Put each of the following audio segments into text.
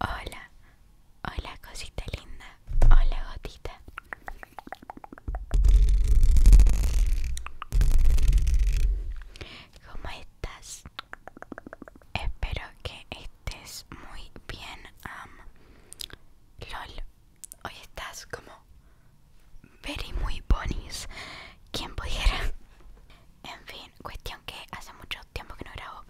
Hola, hola cosita linda, hola gotita. ¿Cómo estás? Espero que estés muy bien. Um, LOL, hoy estás como very muy bonis. ¿Quién pudiera? En fin, cuestión que hace mucho tiempo que no grabo.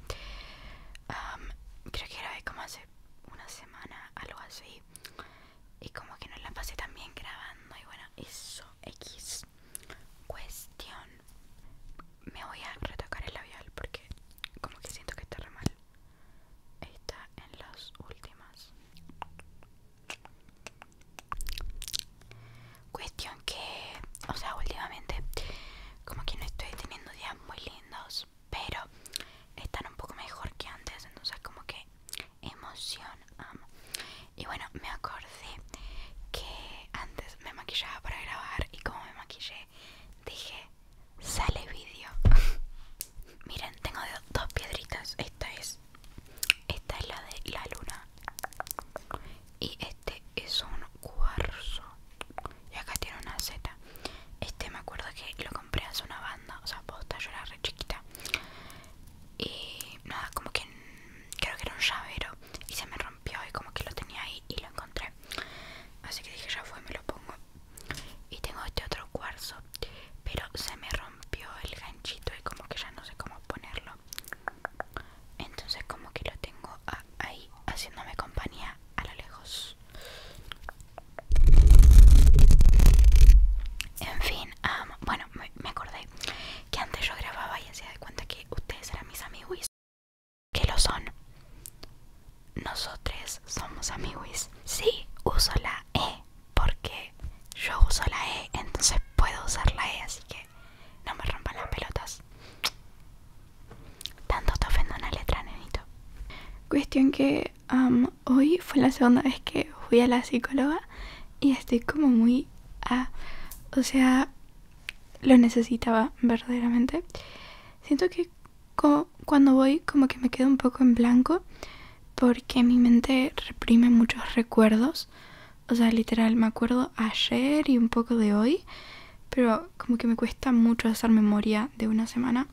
creo que grabé como hace una semana, algo así. Y como que no la pasé también grabando. Y bueno, eso, X. Cuestión. Me voy a retocar el labial porque como que siento que está re mal. Está en las últimas. Cuestión que, o sea, últimamente como que no estoy teniendo días muy lindos, pero están un poco mejor que antes, entonces como que emoción Y bueno, me acordé que antes me maquillaba para grabar y como me maquillé, dije, sale vídeo. Miren, tengo dos piedritas, esta es esta es la de la luna. Y este es un cuarzo. Y acá tiene una seta. Este me acuerdo que lo compré hace una banda. O sea, posta, yo era re chiquita. Y nada, como que creo que era un llavero. Y se me rompió y como que lo tenía ahí y lo encontré. Así que dije, ya fue, me lo pongo. Y tengo este otro cuarzo. Pero se me rompió el ganchito y como que ya no sé cómo ponerlo entonces como que lo tengo ahí haciéndome compañía a lo lejos en fin bueno me, acordé que antes yo grababa y hacía de cuenta que ustedes eran mis amigos que lo son nosotros somos amigos sí uso la e porque yo uso la E, entonces puedo usar la E, así que no me rompan las pelotas. Tanto te ofendo una letra, nenito. Cuestión que hoy fue la segunda vez que fui a la psicóloga y estoy como muy... a... o sea, lo necesitaba verdaderamente. Siento que cuando voy como que me quedo un poco en blanco porque mi mente reprime muchos recuerdos. O sea, literal, me acuerdo ayer y un poco de hoy, pero como que me cuesta mucho hacer memoria de una semana.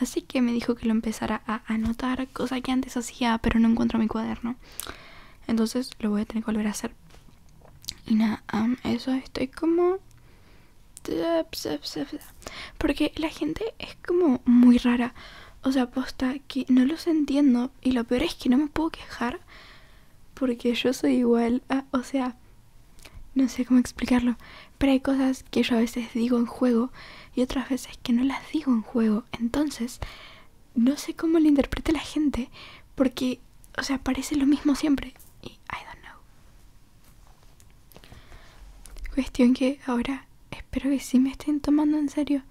Así que me dijo que lo empezara a anotar, cosa que antes hacía, pero no encuentro mi cuaderno. Entonces lo voy a tener que volver a hacer. Y nada, eso estoy como... Porque la gente es como muy rara. O sea, posta que no los entiendo y lo peor es que no me puedo quejar porque yo soy igual a, o sea, no sé cómo explicarlo, pero hay cosas que yo a veces digo en juego y otras veces que no las digo en juego, entonces no sé cómo lo interpreta la gente porque, o sea, parece lo mismo siempre y I don't know. Cuestión que ahora espero que sí me estén tomando en serio,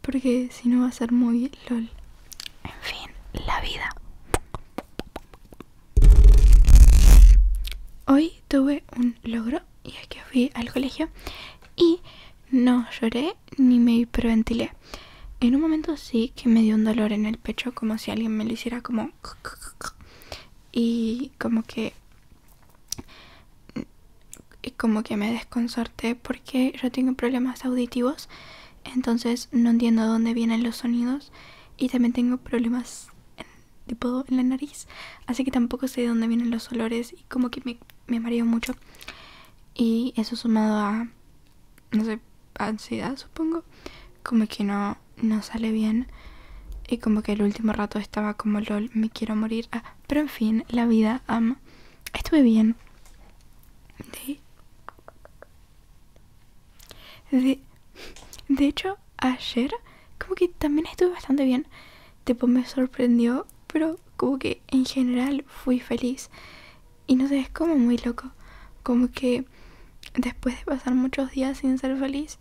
porque si no va a ser muy lol. En fin, la vida. Hoy tuve un logro y es que fui al colegio y no lloré ni me hiperventilé. En un momento sí que me dio un dolor en el pecho como si alguien me lo hiciera como... Y como que y como que me desconcerté porque yo tengo problemas auditivos, entonces no entiendo dónde vienen los sonidos y también tengo problemas tipo en la nariz, así que tampoco sé de dónde vienen los olores y como que me, me mareo mucho. Y eso sumado a, no sé, ansiedad supongo, como que no, no sale bien. Y como que el último rato estaba como LOL, me quiero morir. Ah, pero en fin la vida ama estuve bien de, hecho ayer como que también estuve bastante bien tipo me sorprendió pero como que en general fui feliz y no sé es como muy loco como que después de pasar muchos días sin ser feliz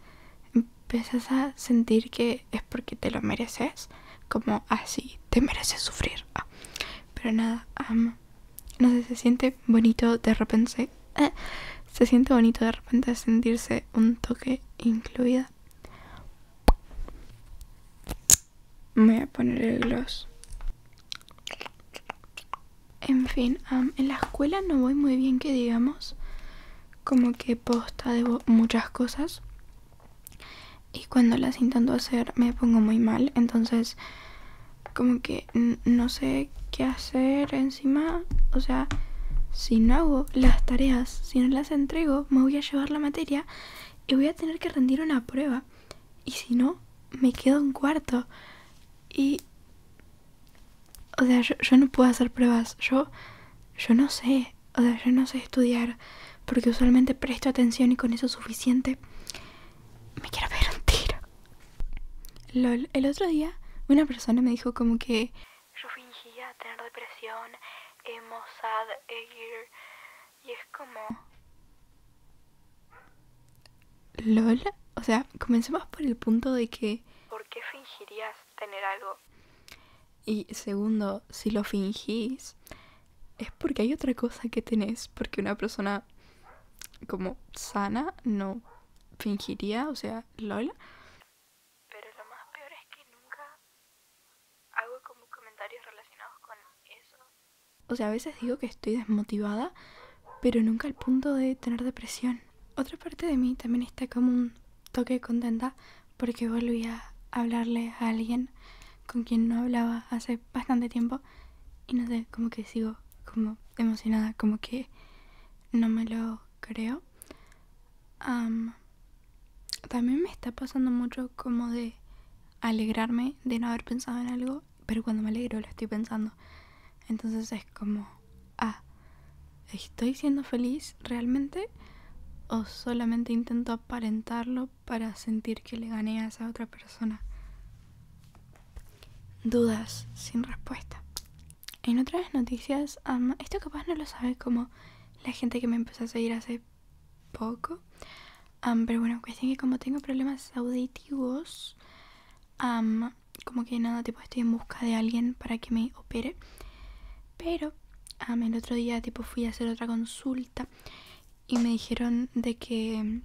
empiezas a sentir que es porque te lo mereces, como así, ah, te mereces sufrir. Ah, pero nada, no sé, se siente bonito de repente, eh, se siente bonito de repente sentirse un toque incluida. Me voy a poner el gloss. En fin, en la escuela no voy muy bien que digamos como que posta de muchas cosas y cuando las intento hacer me pongo muy mal entonces como que no sé qué hacer encima o sea si no hago las tareas si no las entrego me voy a llevar la materia y voy a tener que rendir una prueba y si no me quedo un cuarto y o sea, yo, no puedo hacer pruebas. Yo, yo no sé. O sea, yo no sé estudiar. Porque usualmente presto atención y con eso es suficiente. Me quiero ver un tiro. Lol, el otro día una persona me dijo como que... Yo fingía tener depresión, Y es como... LOL. O sea, comencemos por el punto de que... ¿Por qué fingirías tener algo. Y segundo, si lo fingís, es porque hay otra cosa que tenés, porque una persona como sana no fingiría, o sea, Lola. Pero lo más peor es que nunca hago como comentarios relacionados con eso. O sea, a veces digo que estoy desmotivada, pero nunca al punto de tener depresión otra parte de mí también está como un toque contenta porque volví a hablarle a alguien con quien no hablaba hace bastante tiempo y no sé, como que sigo como emocionada, como que no me lo creo. también me está pasando mucho como de alegrarme de no haber pensado en algo, pero cuando me alegro lo estoy pensando. Entonces es como, ah, ¿estoy siendo feliz realmente? ¿O solamente intento aparentarlo para sentir que le gané a esa otra persona? Dudas sin respuesta. En otras noticias, esto capaz no lo sabes como la gente que me empezó a seguir hace poco. pero bueno, cuestión que como tengo problemas auditivos, como que nada, tipo estoy en busca de alguien para que me opere. Pero amén el otro día tipo fui a hacer otra consulta y me dijeron de que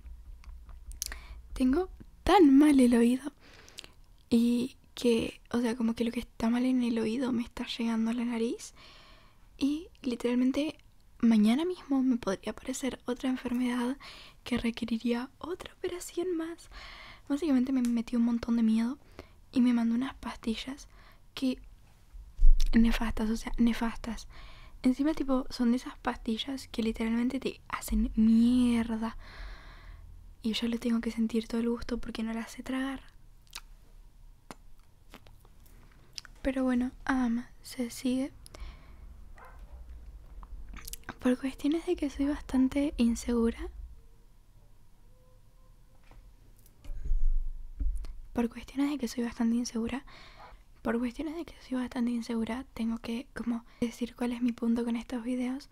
tengo tan mal el oído y que, o sea, como que lo que está mal en el oído me está llegando a la nariz y literalmente mañana mismo me podría aparecer otra enfermedad que requeriría otra operación más. Básicamente me metió un montón de miedo y me mandó unas pastillas que nefastas, o sea, nefastas. Encima tipo son de esas pastillas que literalmente te hacen mierda. Y yo le tengo que sentir todo el gusto porque no las sé tragar. Pero bueno, se sigue. Por cuestiones de que soy bastante insegura. Por cuestiones de que soy bastante insegura. Por cuestiones de que soy bastante insegura, tengo que como decir cuál es mi punto con estos videos.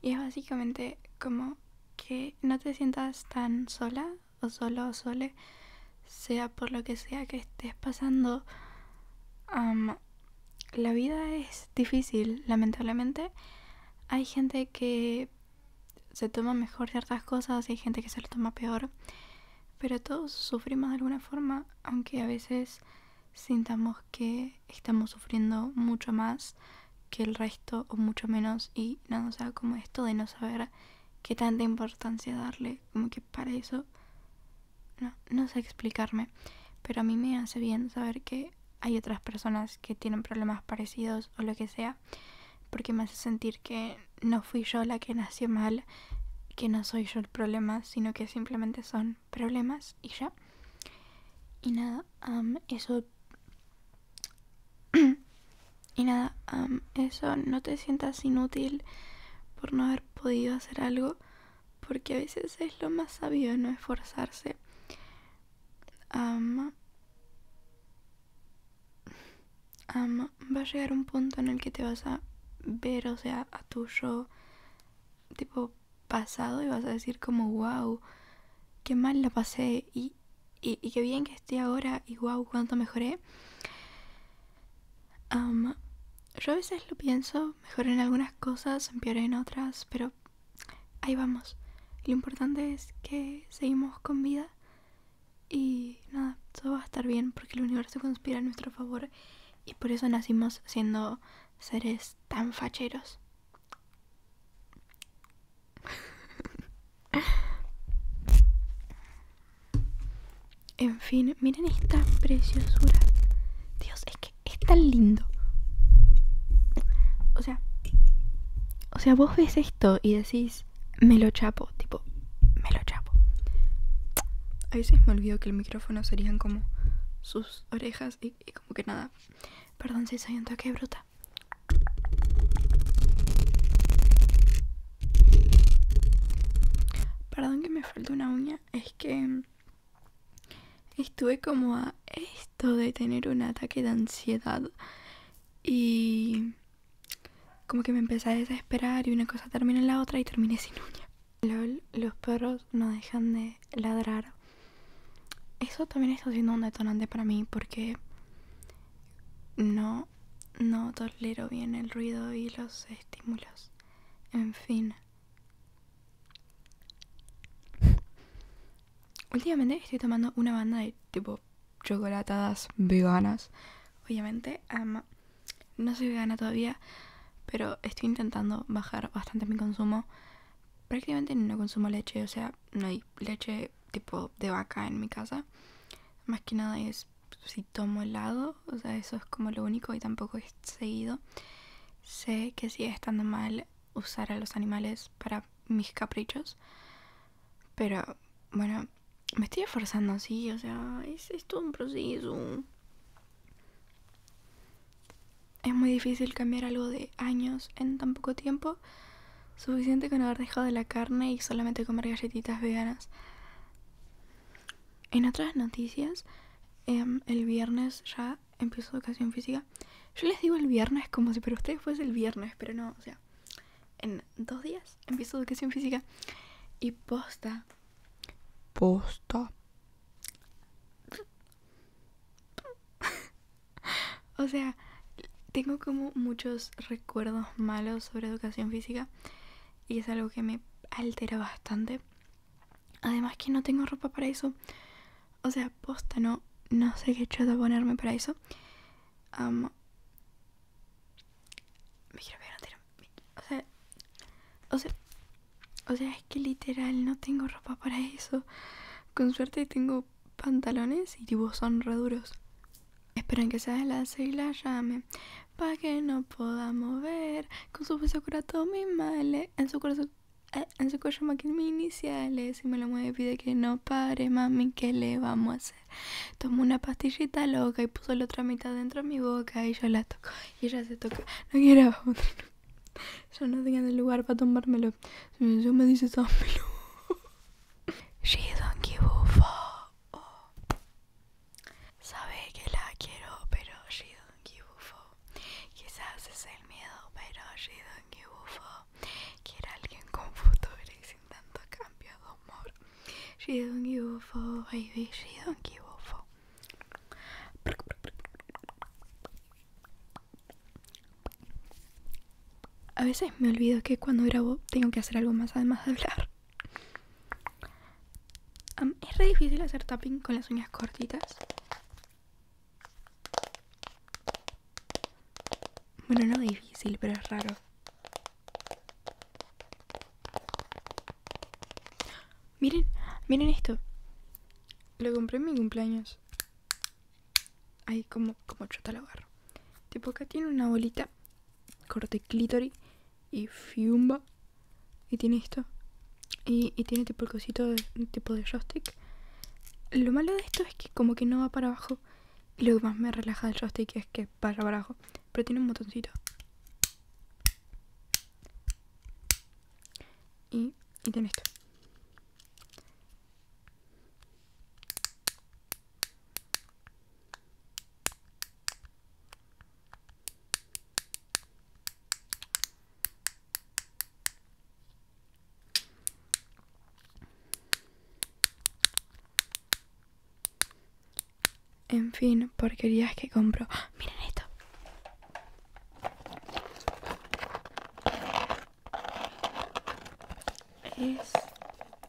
Y es básicamente como que no te sientas tan sola o solo o sole, sea por lo que sea que estés pasando la vida es difícil, lamentablemente. Hay gente que se toma mejor ciertas cosas y hay gente que se lo toma peor. Pero todos sufrimos de alguna forma, aunque a veces sintamos que estamos sufriendo mucho más que el resto o mucho menos y nada, nos sea, como esto de no saber qué tanta importancia darle, como que para eso no, sé explicarme, pero a mí me hace bien saber que hay otras personas que tienen problemas parecidos o lo que sea, porque me hace sentir que no fui yo la que nació mal, que no soy yo el problema, sino que simplemente son problemas y ya. Y nada, eso... y nada, eso no te sientas inútil por no haber podido hacer algo porque a veces es lo más sabio no esforzarse. Ama. Va a llegar un punto en el que te vas a ver, o sea, a tu yo tipo pasado y vas a decir como, wow, qué mal la pasé y, y, qué bien que estoy ahora y wow, cuánto mejoré yo a veces lo pienso, mejor en algunas cosas, peor en otras, pero ahí vamos. Lo importante es que seguimos con vida y nada, todo va a estar bien porque el universo conspira a nuestro favor y por eso nacimos siendo seres tan facheros. En fin, miren esta preciosura. Dios, es que es tan lindo. O sea, o sea, vos ves esto y decís, me lo chapo, tipo, me lo chapo. A veces me olvido que el micrófono serían como sus orejas y, como que nada. Perdón si soy un toque bruta. Perdón que me falta una uña es que estuve como a esto de tener un ataque de ansiedad y como que me empecé a desesperar y una cosa termina en la otra y terminé sin uña. los perros no dejan de ladrar. Eso también está siendo un detonante para mí porque no, no tolero bien el ruido y los estímulos. En fin. Últimamente estoy tomando una banda de tipo chocolatadas veganas. Obviamente, ama no soy vegana todavía, pero estoy intentando bajar bastante mi consumo. Prácticamente no consumo leche, o sea, no hay leche tipo de vaca en mi casa. Más que nada es si tomo lado o sea, eso es como lo único y tampoco he seguido. Sé que sigue estando mal usar a los animales para mis caprichos, pero bueno, me estoy esforzando, así o sea, es, es todo un proceso. Es muy difícil cambiar algo de años en tan poco tiempo. Suficiente con haber dejado de la carne y solamente comer galletitas veganas. En otras noticias, em, el viernes ya empiezo educación física. Yo les digo el viernes como si para ustedes fuese el viernes, pero no, o sea, en dos días empiezo educación física. Y posta. Posta. o sea, tengo como muchos recuerdos malos sobre educación física y es algo que me altera bastante. Además que no tengo ropa para eso. O sea, posta, no, no sé qué chato ponerme para eso. quiero O sea, o sea, es que literal no tengo ropa para eso. Con suerte tengo pantalones y tipo son re Esperen que se la sigla, ya Pa' que no pueda ver. Con su beso cura todos mis males. En su corazón. Eh, en su cuello Maquilla mis iniciales Si me lo mueve pide que no pare Mami, ¿qué le vamos a hacer? Tomó una pastillita loca Y puso la otra mitad dentro de mi boca Y yo la toco Y ella se toca No quiero Yo no tenía el lugar para tomármelo Si yo me dice tomelo, She don't give a Sabe que la quiero, pero she don't give Quizás es el miedo, pero she don't Quiero a alguien con futuro y sin tanto cambio de humor. She don't give a baby, don't A veces me olvido que cuando grabo tengo que hacer algo más además de hablar es re difícil hacer tapping con las uñas cortitas. Bueno, no difícil, pero es raro. Miren, miren esto. Lo compré en mi cumpleaños. Ahí como, como chota lo agarro. Tipo acá tiene una bolita corte clítoris y fiumba. Y tiene esto. Y, tiene tipo el cosito de, tipo de joystick. Lo malo de esto es que como que no va para abajo. Y lo que más me relaja el joystick es que vaya para abajo. Pero tiene un botoncito. y tiene esto. En fin, porquerías que compro. ¡Ah! Miren esto. Es,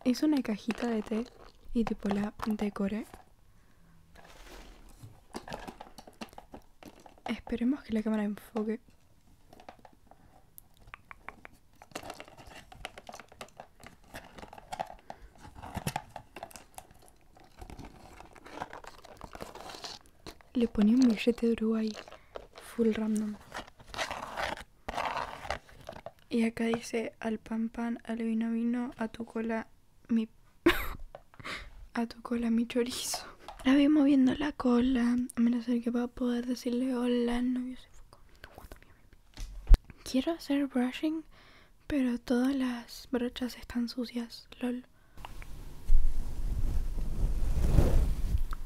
es una cajita de té y tipo la decore Esperemos que la cámara enfoque. Le ponía un billete de Uruguay full random. Y acá dice al pan pan, al vino vino, a tu cola mi... a tu cola mi chorizo. La voy moviendo la cola, a menos que va a poder decirle hola novio se fue Quiero hacer brushing, pero todas las brochas están sucias, lol.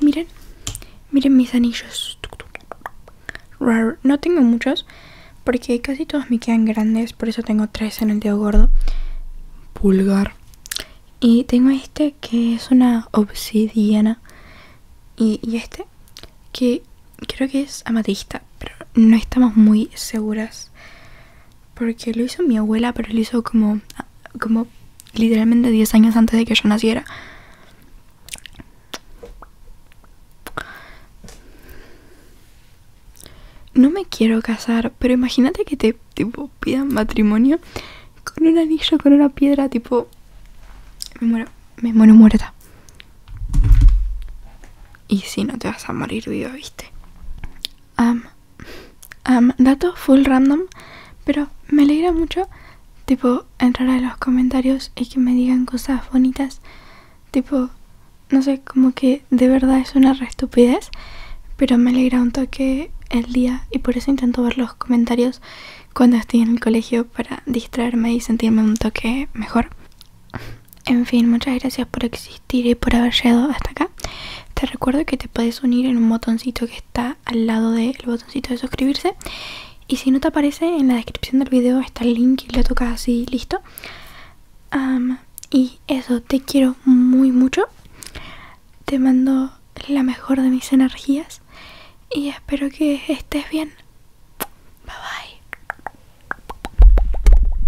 Miren, miren mis anillos. No tengo muchos porque casi todos me quedan grandes, por eso tengo tres en el dedo gordo. Pulgar. Y tengo este que es una obsidiana. y este que creo que es amatista, pero no estamos muy seguras porque lo hizo mi abuela, pero lo hizo como, como literalmente 10 años antes de que yo naciera. No me quiero casar, pero imagínate que te pidan matrimonio con un anillo, con una piedra, tipo... Me muero, me muero muerta. Y si no te vas a morir viva, viste am dato full random, pero me alegra mucho, tipo, entrar a los comentarios y que me digan cosas bonitas. Tipo, no sé, como que de verdad es una re estupidez, pero me alegra un toque el día y por eso intento ver los comentarios cuando estoy en el colegio para distraerme y sentirme un toque mejor. En fin, muchas gracias por existir y por haber llegado hasta acá. Te recuerdo que te puedes unir en un botoncito que está al lado del botoncito de suscribirse. Y si no te aparece, en la descripción del video está el link y lo tocas así, listo. y eso, te quiero muy mucho. Te mando la mejor de mis energías. Y espero que estés bien. Bye bye.